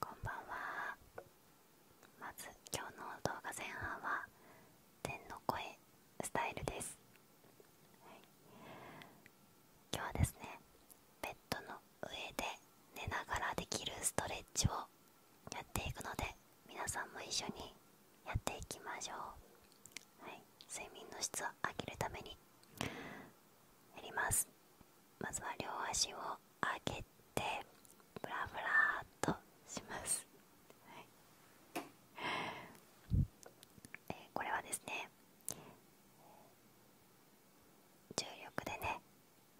こんばんはまず今日の動画前半は天の声スタイルです、は今日はですねベッドの上で寝ながらできるストレッチをやっていくので皆さんも一緒にやっていきましょうはい睡眠の質を上げるためにやりますまずは両足を上げてブラブラとします、はえこれはですね重力でね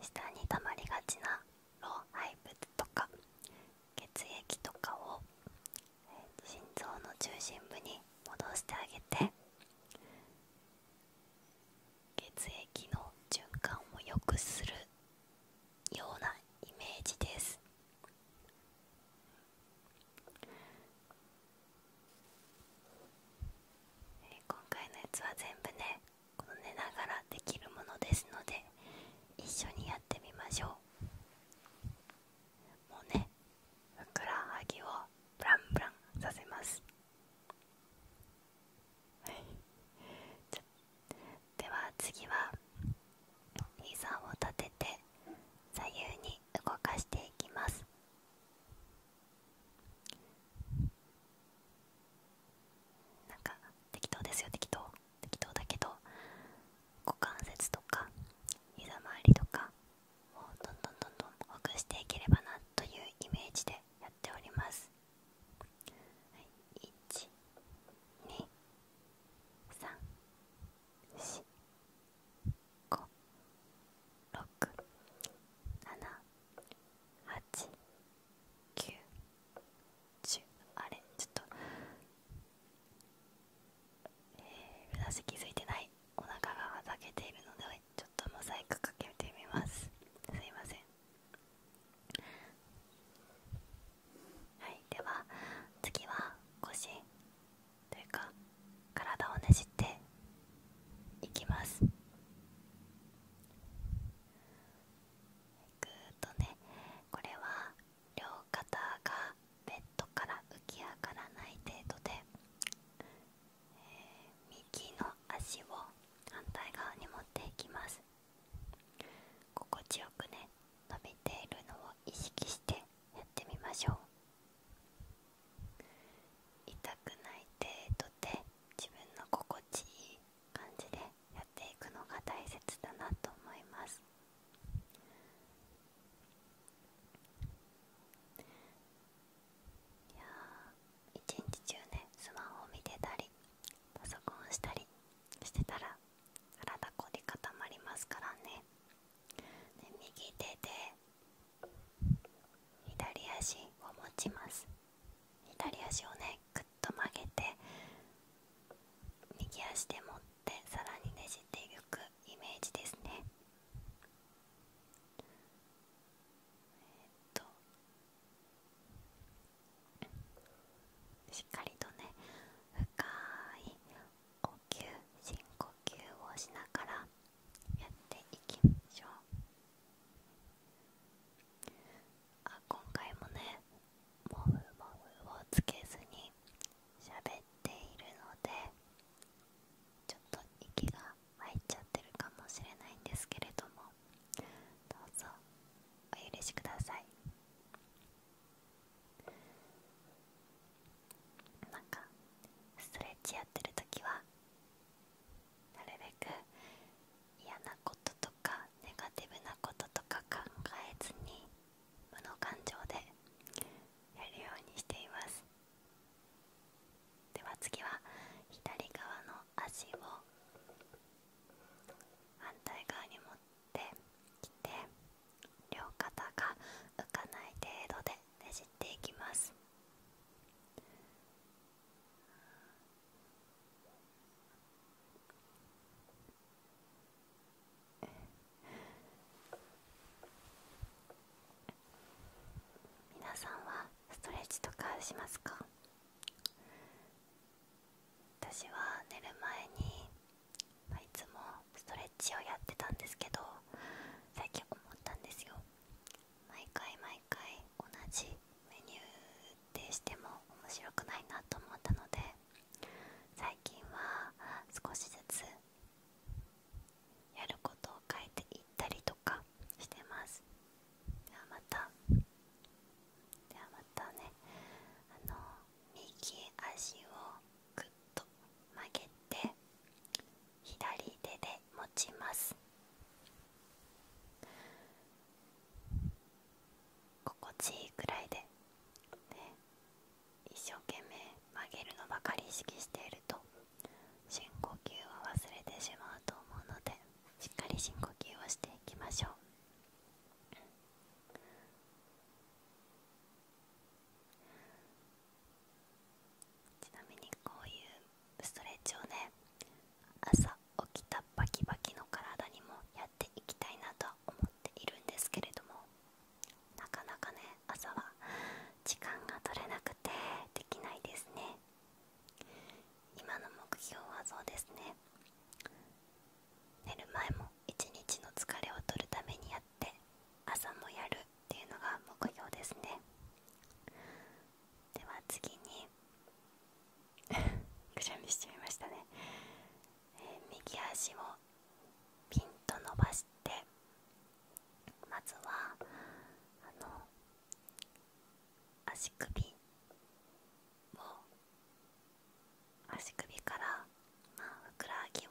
下に溜まりがちな老廃物とか血液とかを、心臓の中心部に戻してあげて血液の循環を良くするようなイメージです今回のやつは全部ねこの寝ながらできるものですので一緒にやってみましょうもうねふくらはぎをブランブランさせますは いでは次は膝を立てて左右に動かしていきますなんか適当ですよ適当適当だけど股関節とか膝周りとかをどんどんどんどんほぐしていければなというイメージでやっております、はい、12345678910あれちょっとえー、私気付いてないお腹がはざけているのでちょっとモザイクかけてみますすいませんはいでは次は腰というか体をねじっていきますぐーっとねこれは両肩がベッドから浮き上がらない程度で右の足を反対側に持っていきます心地よくね伸びているのを意識してやってみましょう痛くない程度で自分の心地いい感じでやっていくのが大切だなと思いますいやー一日中ねスマホ見てたりパソコンしたりしてたら体こり固まりますからね右手で左足を持ちます左足をねぐっと曲げて右足で持ってさらにねじっていくイメージですねえー、しっかりとね深い呼吸深呼吸をしながらやっていきましょうあ今回もねモフモフをつけずに喋っているのでちょっと息が入っちゃってるかもしれないんですけれどもどうぞお許しくださいなんかストレッチやってる時はなるべく嫌なこととかネガティブなこととか考えずに無の感情でやるようにしていますでは次は左側の足を反対側に持ってきて両肩が浮かない程度でねじっていきます皆さんはストレッチとかしますか私は寝る前に、まいつもストレッチをやってたんですけど最近思ったんですよ毎回毎回同じメニューでしても面白くないなと思ったので最近は少しずつやることを変えていったりとかしてますではまたではまたねあの右足をぐっと曲げて左手で持ちます心地いいくらいで、ね、一生懸命曲げるのばかり意識していると深呼吸を忘れてしまうと思うのでしっかり深呼吸をしていきましょうちなみにこういうストレッチをね朝起きたバキバキの体にもやっていきたいなとは思っているんですけれどもなかなかね朝は時間が取れなくてできないですね今の目標はそうですね寝る前も一日の疲れを取るためにやって朝もやるっていうのが目標ですねでは次に くしゃみしちゃいましたね、右足をピンと伸ばしてまずは足首を足首から、まふくらはぎを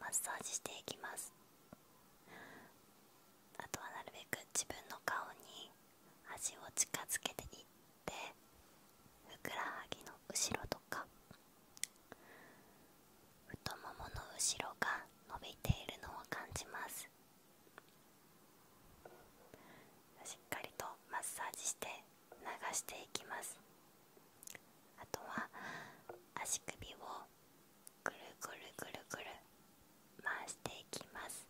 マッサージしていきますあとはなるべく自分の顔に足を近づけていってふくらはぎの後ろとか太ももの後ろが伸びているのを感じますしっかりとマッサージして流していきますあとは足首をぐるぐるぐるぐる回していきます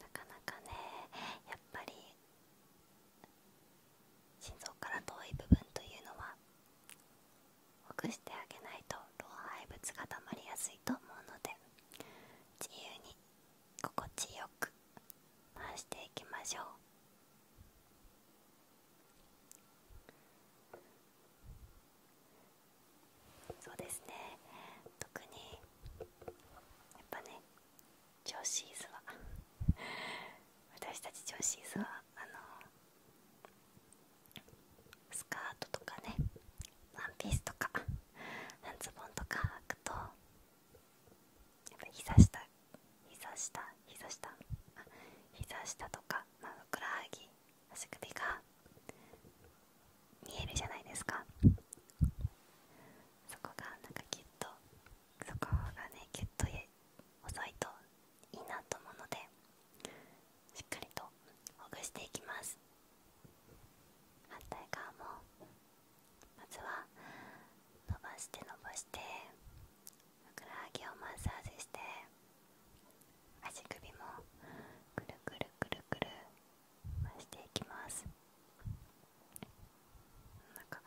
なかなかねやっぱり心臓から遠い部分というのはほぐしてあげないと老廃物がたまりやすいと思うので自由に心地よく回していきましょうそうですね特にやっぱねジョシ私たち女子シーはあのスカートとかねワンピースとか半ズボンとか履くとやっぱ膝下膝下膝下膝下とか、まあ、ふくらはぎ足首が見えるじゃないですかそこがなんかきっとそこがねギュッと押さといいなと思うのでしっかりとほぐしていきます反対側もまずは伸ばして伸ばしてふくらはぎをマッサージして足首もくるくるくるくる回していきますなんか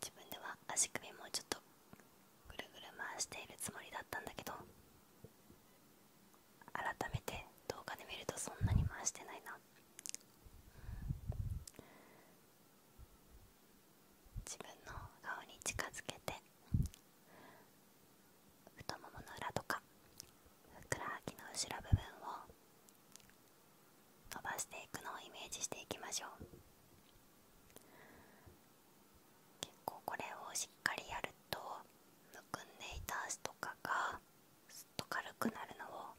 自分では足首もちょっとぐるぐる回しているつもりだったんだけど改めて動画で見るとそんなに回してないな自分の顔に近づけて太ももの裏とかふくらはぎの後ろ部分を伸ばしていくのをイメージしていきましょう結構これをしっかりやるとむくんでいた足とかがすっと軽くなるのを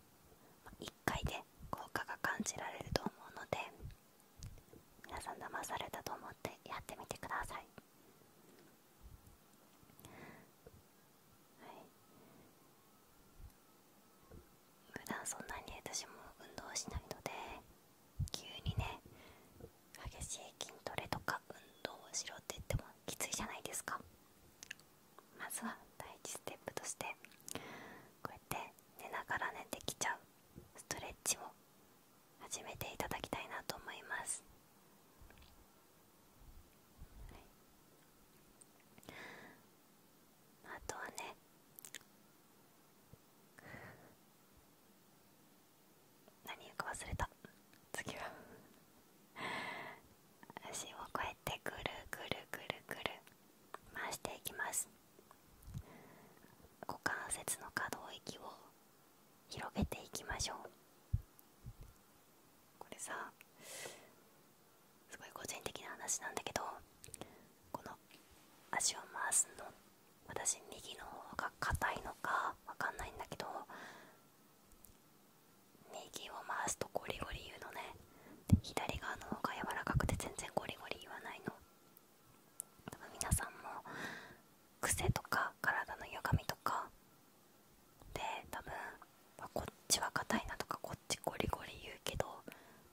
1回で効果が感じられると思うので皆さん騙されたと思ってやってみてくださいはい、普段そんなに私も運動しないので急にね激しい筋トレとか運動をしろって言ってもきついじゃないですかまずは第1ステップとしてこうやって寝ながら寝てきちゃうストレッチを始めていただきたいなと思います、はい、あとはね何言うか忘れた次は足をこうやってぐるぐるぐるぐる回していきます股関節の可動域を広げていきましょうこれさすごい個人的な話なんだけどこの足を回すの私右の方が硬いのかわかんないんだけど右を回すとゴリゴリ言うのねで左側の方が柔らかくて全然ゴリゴリ言わないの多分皆さんも癖とか体の歪みとかで多分まこっちは硬いなとかこっちゴリゴリ言うけど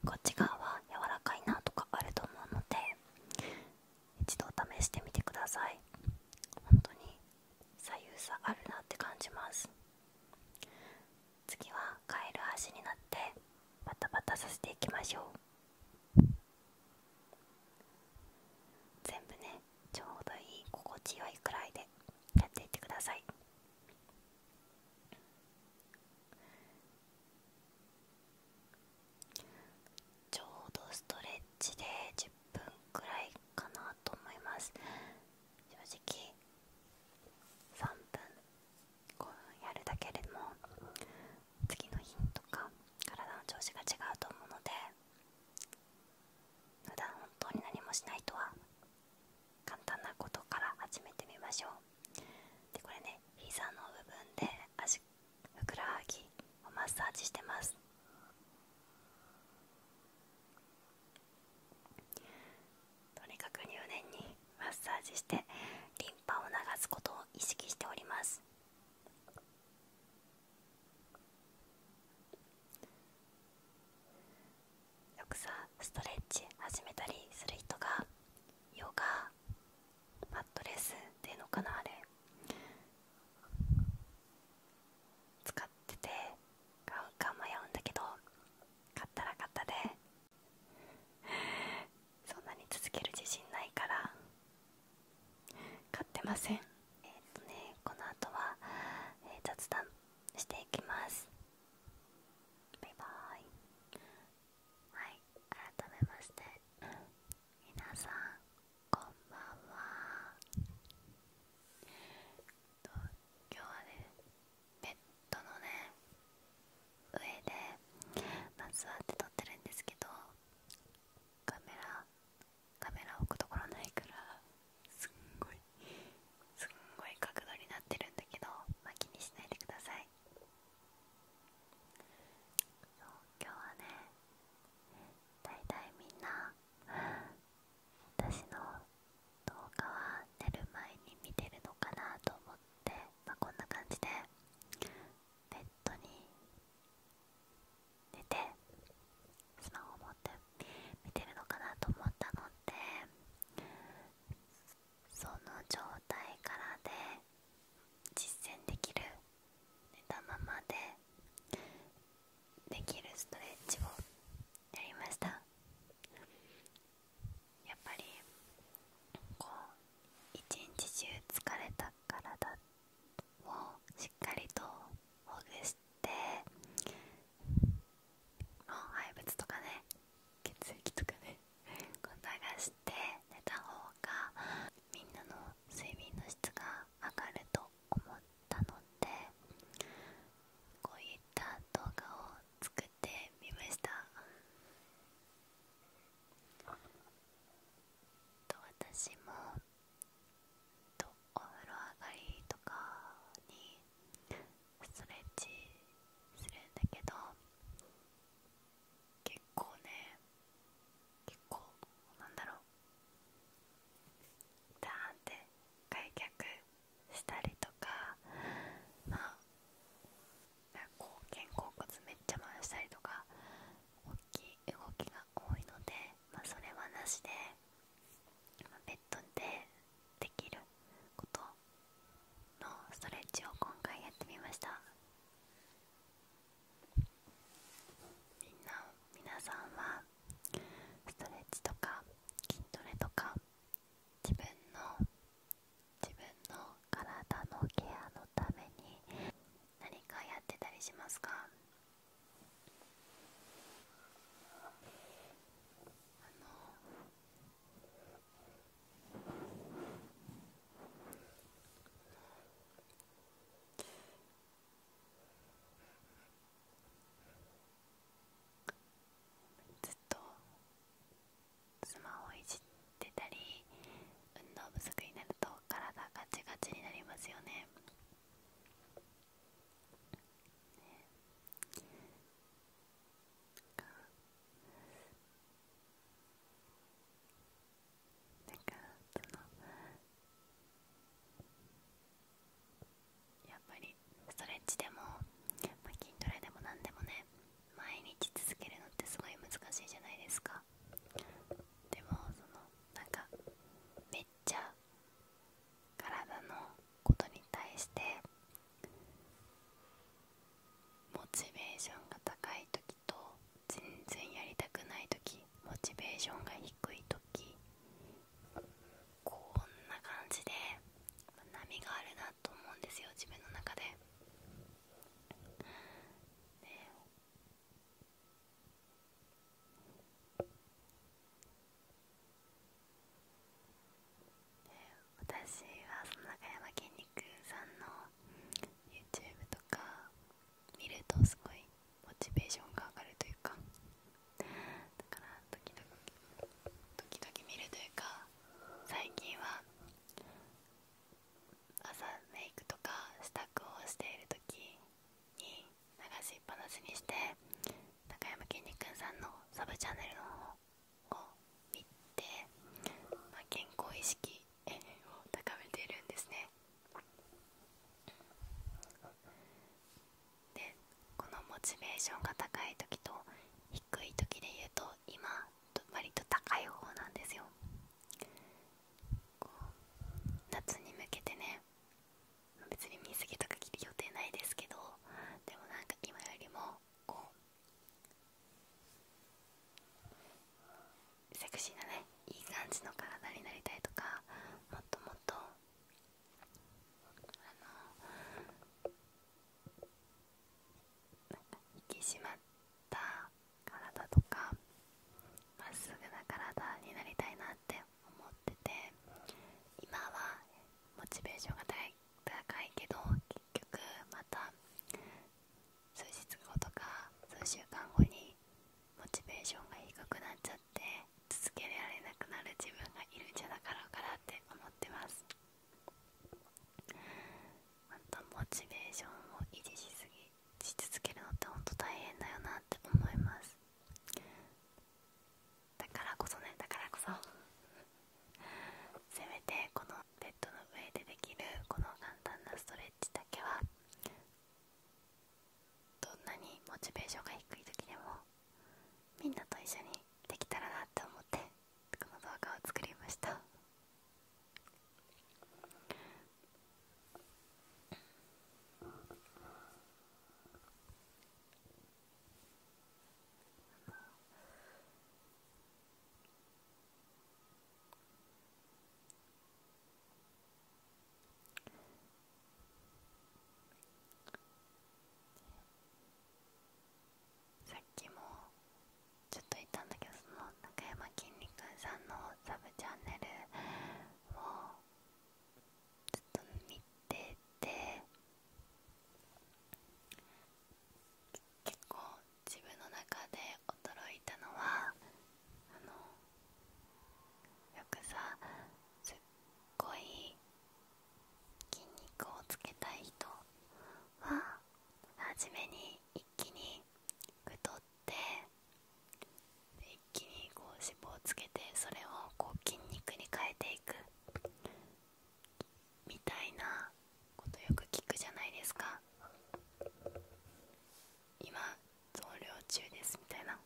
こっち側は柔らかいなとかあると思うので一度試してみてください本当に左右差あるなって感じます次はカエル足になってバタバタさせていきましょう全部ねちょうどいい心地よいくらいでやっていってくださいちょうどストレッチで10分くらいかなと思います正直3分やるだけでも次の日とか体の調子が違うと思うので普段本当に何もしないとは簡単なことから始めてみましょうでこれね膝の部分で足ふくらはぎをマッサージしてますとにかく入念にマッサージしてリンパを流すことを意識しておりますよくさストレッチ始めたりする人がヨガマットレスっていうのかなあれ使ってて買うか迷うんだけど買ったら買ったで そんなに続ける自信ないから買ってませんえっ、とねこの後は、え雑談していきますバイバーイはい改めまして皆さんこんばんは今日はねベッドのね上で、まあ、座って撮ってるんですけどカメラカメラ置くところないからすんごいすんごい角度になってるんだけど、ま気にしないでください今日はねだいたいみんな私の動画は寝る前に見てるのかなと思って、まこんな感じでベッドに寝てスマホ持って見てるのかなと思ったのでその状態からで実践できる寝たままでできるストレッチをやりましたやっぱりこう一日中疲れた体をしっかりとほぐしてして廃物とかね血液とかねこう流して寝た方がみんなの睡眠の質が上がると思ったのでこういった動画を作ってみましたと私もとお風呂上がりとかにストレッチするんだけど結構ね結構なんだろうダーンって開脚したりとかまあこう肩甲骨めっちゃ回したりとか大きい動きが多いのでまあそれはなしで。ベッドでできることのストレッチを今回やってみましたみんな皆さんはストレッチとか筋トレとか自分の自分の体のケアのために何かやってたりしますかずっとスマホいじってたり運動不足になると体がガチガチになりますよねね。なんかそのやっぱりストレッチでも、まあ、筋トレでも何でもね毎日続けるのってすごい難しいじゃないですかでもそのなんかめっちゃ体のことに対してモチベーションが高い時と全然やりたくない時モチベーションが低い時こんな感じで波があるなと思うんですよ自分の中で。ね、私はその中山きんに君さんの YouTube とか見るとすごいモチベーションが上がるというかだから時々時々見るというか最近は朝メイクとか支度をしている時に流しっぱなしにして高山きんに君さんのサブチャンネルの方を見て、ま健康意識 を高めているんですねでこのモチベーションが高い時と低い時で言うと今割と高い方なんですよ夏に向けてね別に水着とか着る予定ないですけどでもなんか今よりもこうセクシーなねいい感じの体になりたいとかもっともっとあのなか引きしまった体とかまっすぐな体になりたいなって思ってて今はモチベーションが高いけど結局また数日後とか数週間後にモチベーションが低くなっちゃって続けられなくなる自分がいるんじゃなかろうかなって思ってます本当モチベーションを維持しすぎし続けるのって本当大変だよなって思いますだからこそねだからこそ せめてこのベッドの上でできるこの簡単なストレッチだけはどんなにモチベーションが低い時でもみんなと一緒にできたらなって思ってこの動画を作りました さっきもちょっと言ったんだけどその中山きんに君さんのサブチャンネルも。ずっと見てて結構自分の中で驚いたのはあのよくさすっごい筋肉をつけたい人は初めに一気に太ってフ一気に脂肪をつけてそれをこう筋肉に変えていくみたいなことよく聞くじゃないですか今増量中ですみたいな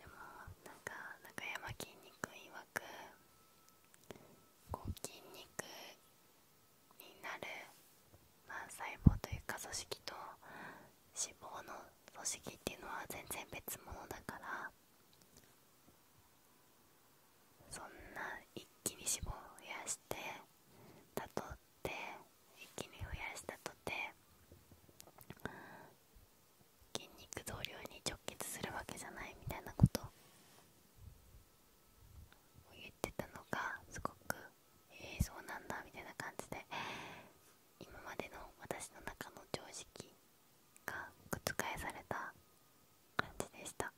でもなんか中山筋肉いわくこう筋肉になる、まあ、細胞というか組織と脂肪の組織っていうのは全然別物だからそんな一気に脂肪を増やしてたとって一気に増やしたとて筋肉増量に直結するわけじゃないみたいなことを言ってたのがすごくええそうなんだみたいな感じで今までの私の中の常識が覆された感じでした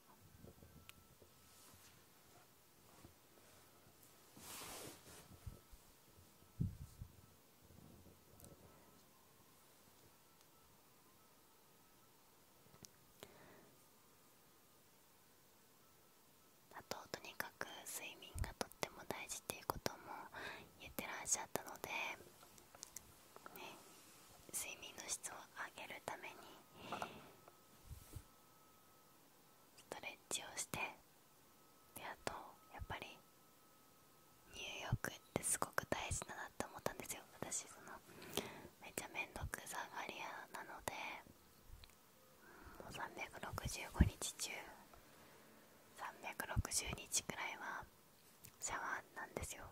あととにかく睡眠がとっても大事っていうことも言ってらっしゃったので、ね、睡眠の質を上げるためにストレッチをしてであとやっぱり入浴ってすごく大事だなって思ったんですよ私そのめっちゃめんどくさがり屋なのでもう365日中360日くらいはシャワーなんですよ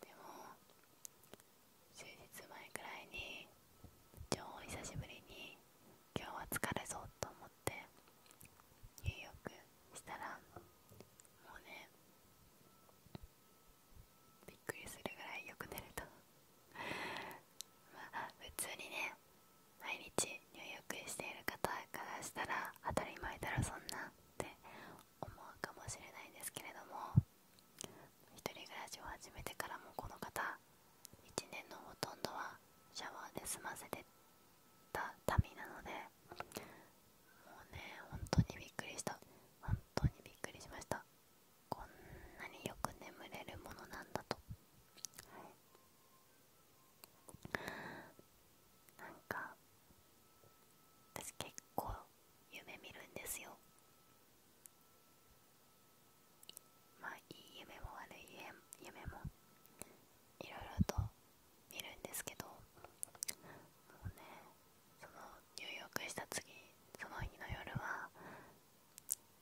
でも数日前くらいに超久しぶりに今日は疲れそうと思って入浴したらもうねびっくりするぐらいよく寝ると まあ普通にね毎日入浴している方からしたら当たり前だろそんなって思うかもしれないですけれども一人暮らしを始めてからもこの方1年のほとんどはシャワーで済ませてた民なのでもうね本当にびっくりした本当にびっくりしましたこんなによく眠れるものなんだと、はなんか私結構夢見るんですよまあいい夢も悪い夢もいろいろと見るんですけどもうねその入浴した次その日の夜は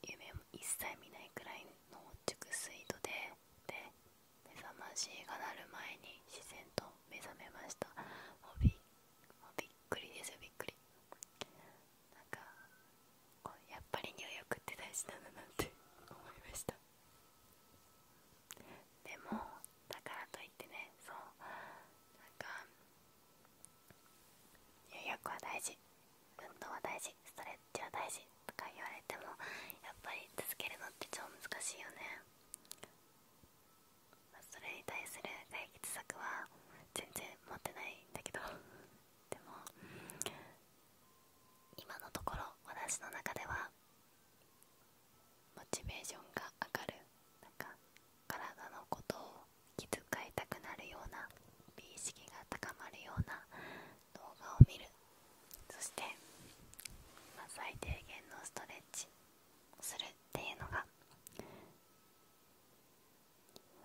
夢も一切見ないくらいの熟睡度でで目覚ましがなる前に自然と目覚めましたもうびっくりですよびっくりなんかやっぱり入浴って大事なんだなって思いましたでもだからといってねそうなんか入浴は大事運動は大事ストレッチは大事とか言われてもやっぱり続けるのって超難しいよね、それに対する解決策は全然持ってないんだけどでも今のところ私の中ではモチベーションが上がるなんか体のことを気遣いたくなるような美意識が高まるような動画を見るそして、最低限のストレッチをするっていうのが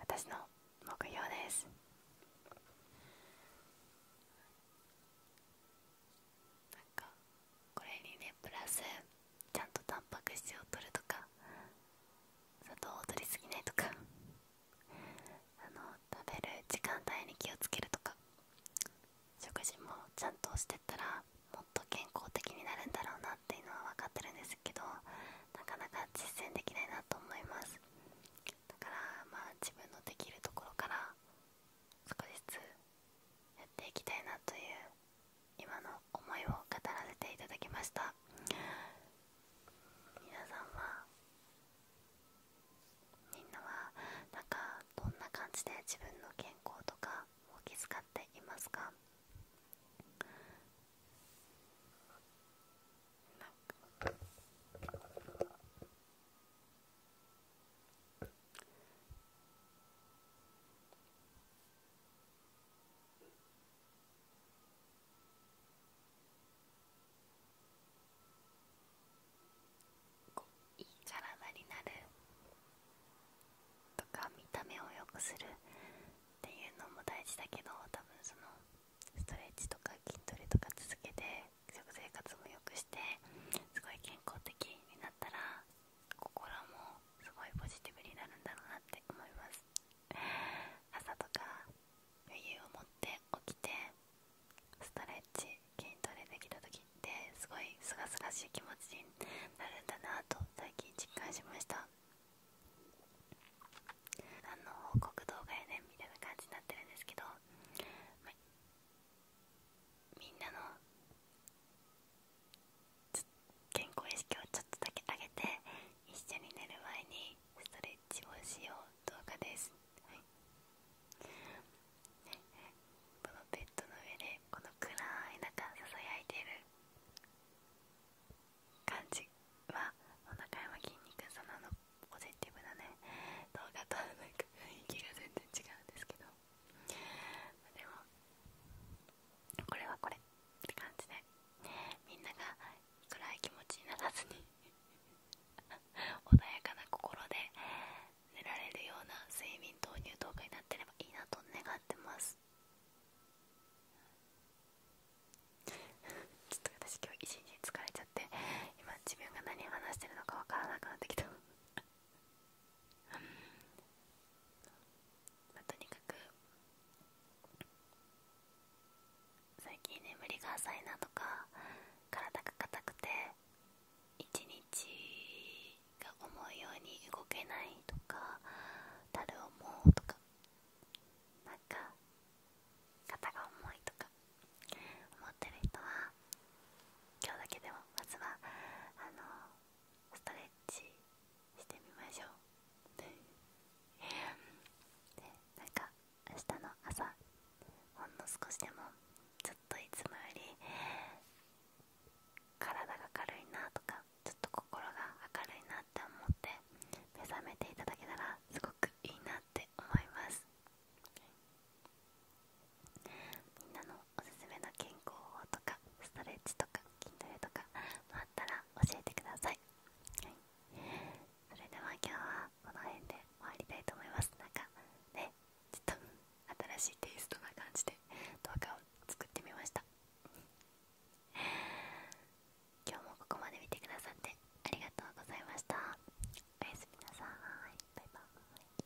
私の目標ですなんかこれにねプラスちゃんとタンパク質を取るとか砂糖を取りすぎないとかあの食べる時間帯に気をつけるとか食事もちゃんとしてったらもっと健康的になるんだろうなっていうのは分かってるんですけどなかなか実践できないなと思いますだからまあ自分のできるところから少しずつやっていきたいなという今の思いを語らせていただきました皆さんはみんなはなんかどんな感じで自分の健康とかを気遣っていますかこういい体になるとか見た目を良くするっていうのも大事だけど多分そのストレッチとか筋トレとか続けて食生活も良くしてすごい健康的になったら心もすごいポジティブになるんだろうなって思います朝とか余裕を持って起きてストレッチ筋トレできた時ってすごいすがすがしい気持ちになるんだなと最近実感しました何の報告動画やねんみたいな感じになってるんですけど、みんなの健康意識をちょっとだけ上げて一緒に寝る前にストレッチをしよう動画です、はい、このベッドの上でこの暗い中ささやいてる感じはお腹山筋肉そののポジティブなね動画となんか雰囲気が全然違うんですけどでもこれはこれって感じでみんなが暗い気持ちにならずに 穏やかな心で寝られるような睡眠導入動画になってればいいなと願ってます ちょっと私今日一日疲れちゃって今自分が何話してるのかわからなくなってきた まあ、とにかく最近眠りが浅いなとか体が硬くて一日が思うように動けないとかだる思うとかなんか肩が重いとか思ってる人は今日だけでもまずはあのストレッチしてみましょうでなんか明日の朝ほんの少しでもちょっといつもより体が軽いなとかちょっと心が明るいなって思って目覚めていただけたらすごくいいなって思いますみんなのおすすめの健康法とかストレッチとか筋トレとかもあったら教えてください、それでは今日はこの辺で終わりたいと思いますなんかねちょっと新しいテイストな感じで動画を作ってみました今日もここまで見てくださってありがとうございましたおやすみなさいバイバーイ